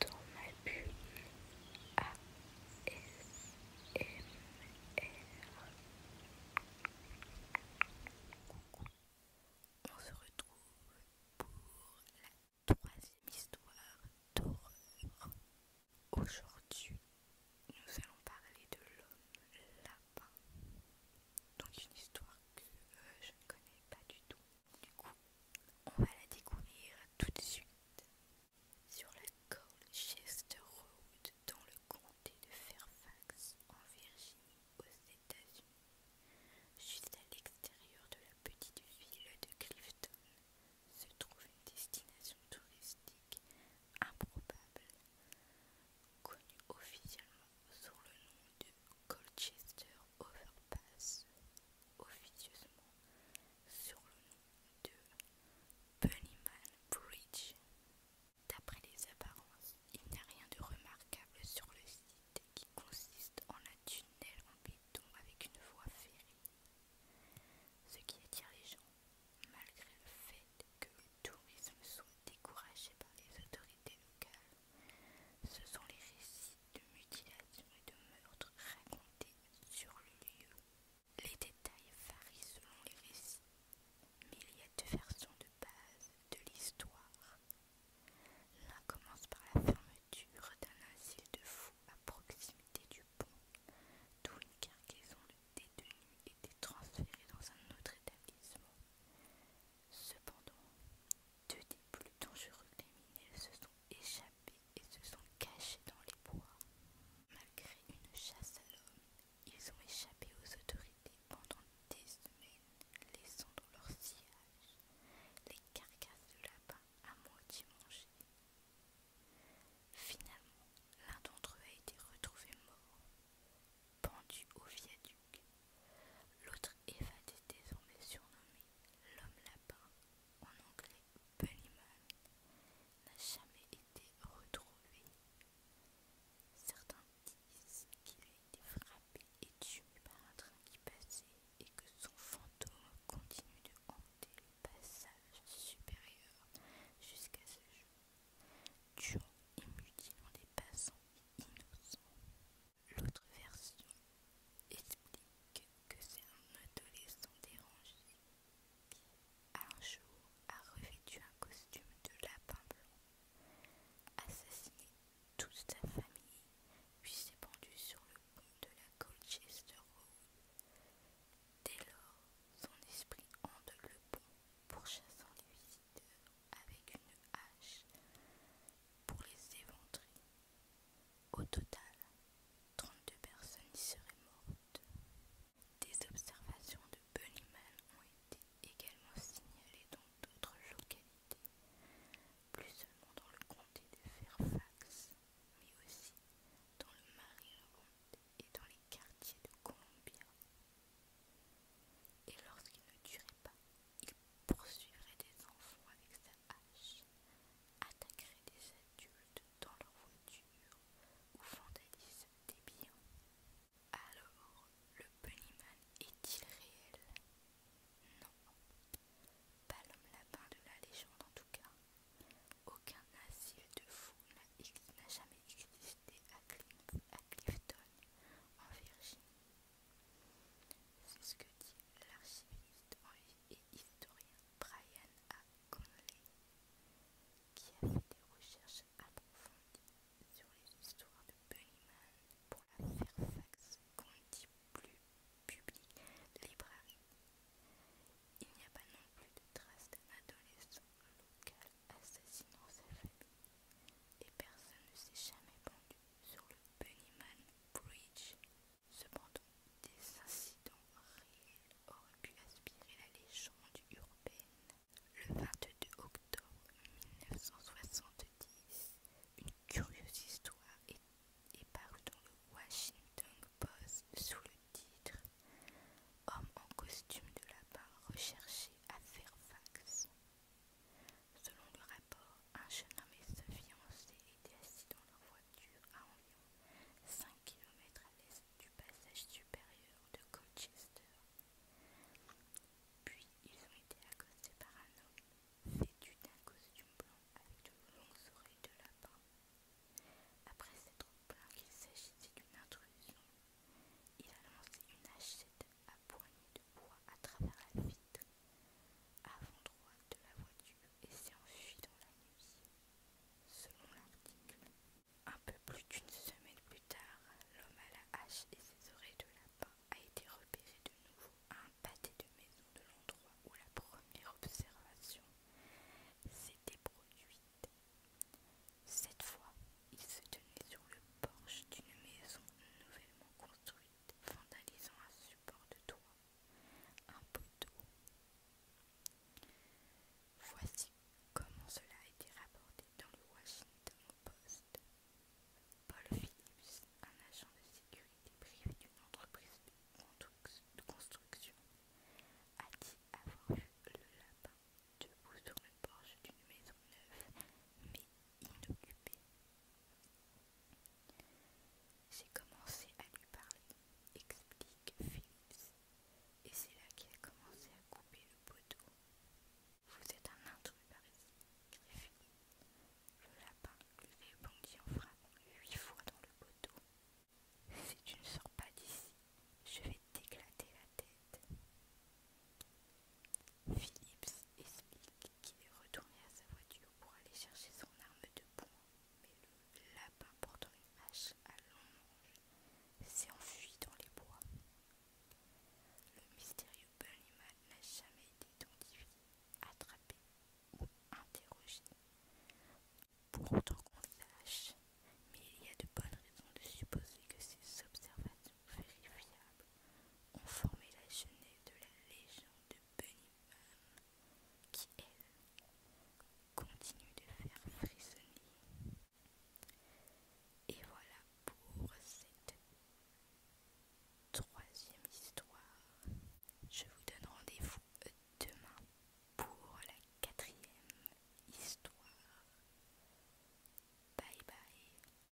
Dans ma bulle On se retrouve pour la troisième histoire d'horreur. Aujourd'hui, nous allons parler de l'homme lapin. Donc une histoire que euh, je ne connais pas du tout. Du coup, on va la découvrir tout de suite. Sur la Colchester Road, dans le comté de Fairfax, en Virginie, aux États-Unis, juste à l'extérieur de la petite ville de Clifton, se trouve une destination touristique improbable, connue officiellement sous le nom de Colchester Overpass officieusement sur le nom de Bunnyman Bridge. D'après les apparences, il n'y a rien de remarquable sur le site qui consiste en un tunnel en béton avec une voie ferrée. Ce qui attire les gens, malgré le fait que le tourisme soit découragé par les autorités locales. Ce sont les récits de mutilations et de meurtres racontés sur le lieu. Les détails varient selon les récits, mais il y a deux versions de base de l'histoire. L'un commence par la fermeture d'un asile de fous à proximité du pont, d'où une cargaison de détenus était transférée dans un autre établissement. Cependant, deux des plus dangereux criminels se sont échappés et se sont cachés dans les bois. Malgré une chasse à l'homme, ils ont échappé aux autorités pendant des semaines, laissant dans leur sillage les carcasses de lapins à moitié mangées. Finalement, l'un d'entre eux a été retrouvé mort, pendu au viaduc L'autre évadé désormais surnommé « l'homme lapin, en anglais Bunnyman, n'a jamais été retrouvé. Certains disent qu'il a été frappé et tué par un train qui passait et que son fantôme continue de hanter le passage supérieur jusqu'à ce jour, tuant et mutilant des passants innocents. L'autre version explique que c'est un adolescent dérangé qui, un jour, a revêtu un costume de lapin blanc, assassiné toute sa famille, puis s'est pendu sur le pont de la Colchester Road. Dès lors, son esprit hante le pont, pour chasser les visiteurs avec une hache pour les éventrer. Au total, 32 personnes y seraient mortes. Des observations de Bunnyman ont été également signalées dans d'autres localités, plus seulement dans le comté de Fairfax, mais aussi dans le Maryland et dans les quartiers de Columbia. Et lorsqu'il ne durait pas, il poursuivrait des enfants avec sa hache, attaquerait des adultes dans leur voiture ou vandalise des biens. Alors, le Bunnyman est-il réel Non. Pas l'homme lapin de la légende en tout cas. Aucun asile de fous n'a jamais existé à Clifton, en Virginie. C'est ce que dit l'archiviste et historien Brian A. Conley, qui a fait des recherches approfondies sur les histoires de Bunnyman pour la Fairfax plus Public Library. Il n'y a pas non plus de traces d'un adolescent local assassinant sa famille et personne ne s'est jamais vendu sur le Bunnyman Bridge. Cependant, des incidents réels auraient pu aspirer la légende urbaine. Le 22 octobre 1970, une curieuse histoire est, dans le Washington Post sous le titre Homme en costume de lapin recherché à Fairfax. Selon le rapport, un jeune homme et sa fiancée étaient assis dans leur voiture à environ 5 km à l'est du passage supérieur de Colchester. Puis ils ont été accostés par un homme vêtu d'un costume blanc avec de longues oreilles de lapin. Après s'être plaint qu'il s'agissait d'une intrusion, il a lancé une hachette a poignée de bois à travers la vitre, avant droite de la voiture et s'est enfui dans la nuit. Selon l'article, un peu plus d'une semaine plus tard, l'homme à la hache et ses oreilles de lapin a été repéré de nouveau à un pâté de maison de l'endroit où la première observation s'était produite. Cette fois, il se tenait sur le porche d'une maison nouvellement construite vandalisant un support de toit, un poteau. Voici comment cela a été rapporté dans le Washington Post. Paul Phillips, un agent de sécurité privé d'une entreprise de construction, a dit avoir vu le lapin debout sur le porche d'une maison neuve mais inoccupée. J'ai commencé à lui parler, explique Philips, et c'est là qu'il a commencé à couper le poteau. Vous êtes un intrus par ici, Le lapin lui bandit en frappant huit fois dans le poteau. Si tu ne sors pas d'ici, je vais t'éclater la tête. Philips explique qui est retourné à sa voiture pour aller chercher son arme de poing, mais le lapin portant une hache à long s'est enfui dans les bois. Le mystérieux Bunnyman n'a jamais été identifié, attrapé ou interrogé. Pour autant qu'on sache, mais il y a de bonnes raisons de supposer que ces observations vérifiables ont formé la genèse de la légende de Bunnyman qui, elle, continue de faire frissonner. Et voilà pour cette troisième histoire. Je vous donne rendez-vous euh, demain pour la quatrième histoire. Bye bye.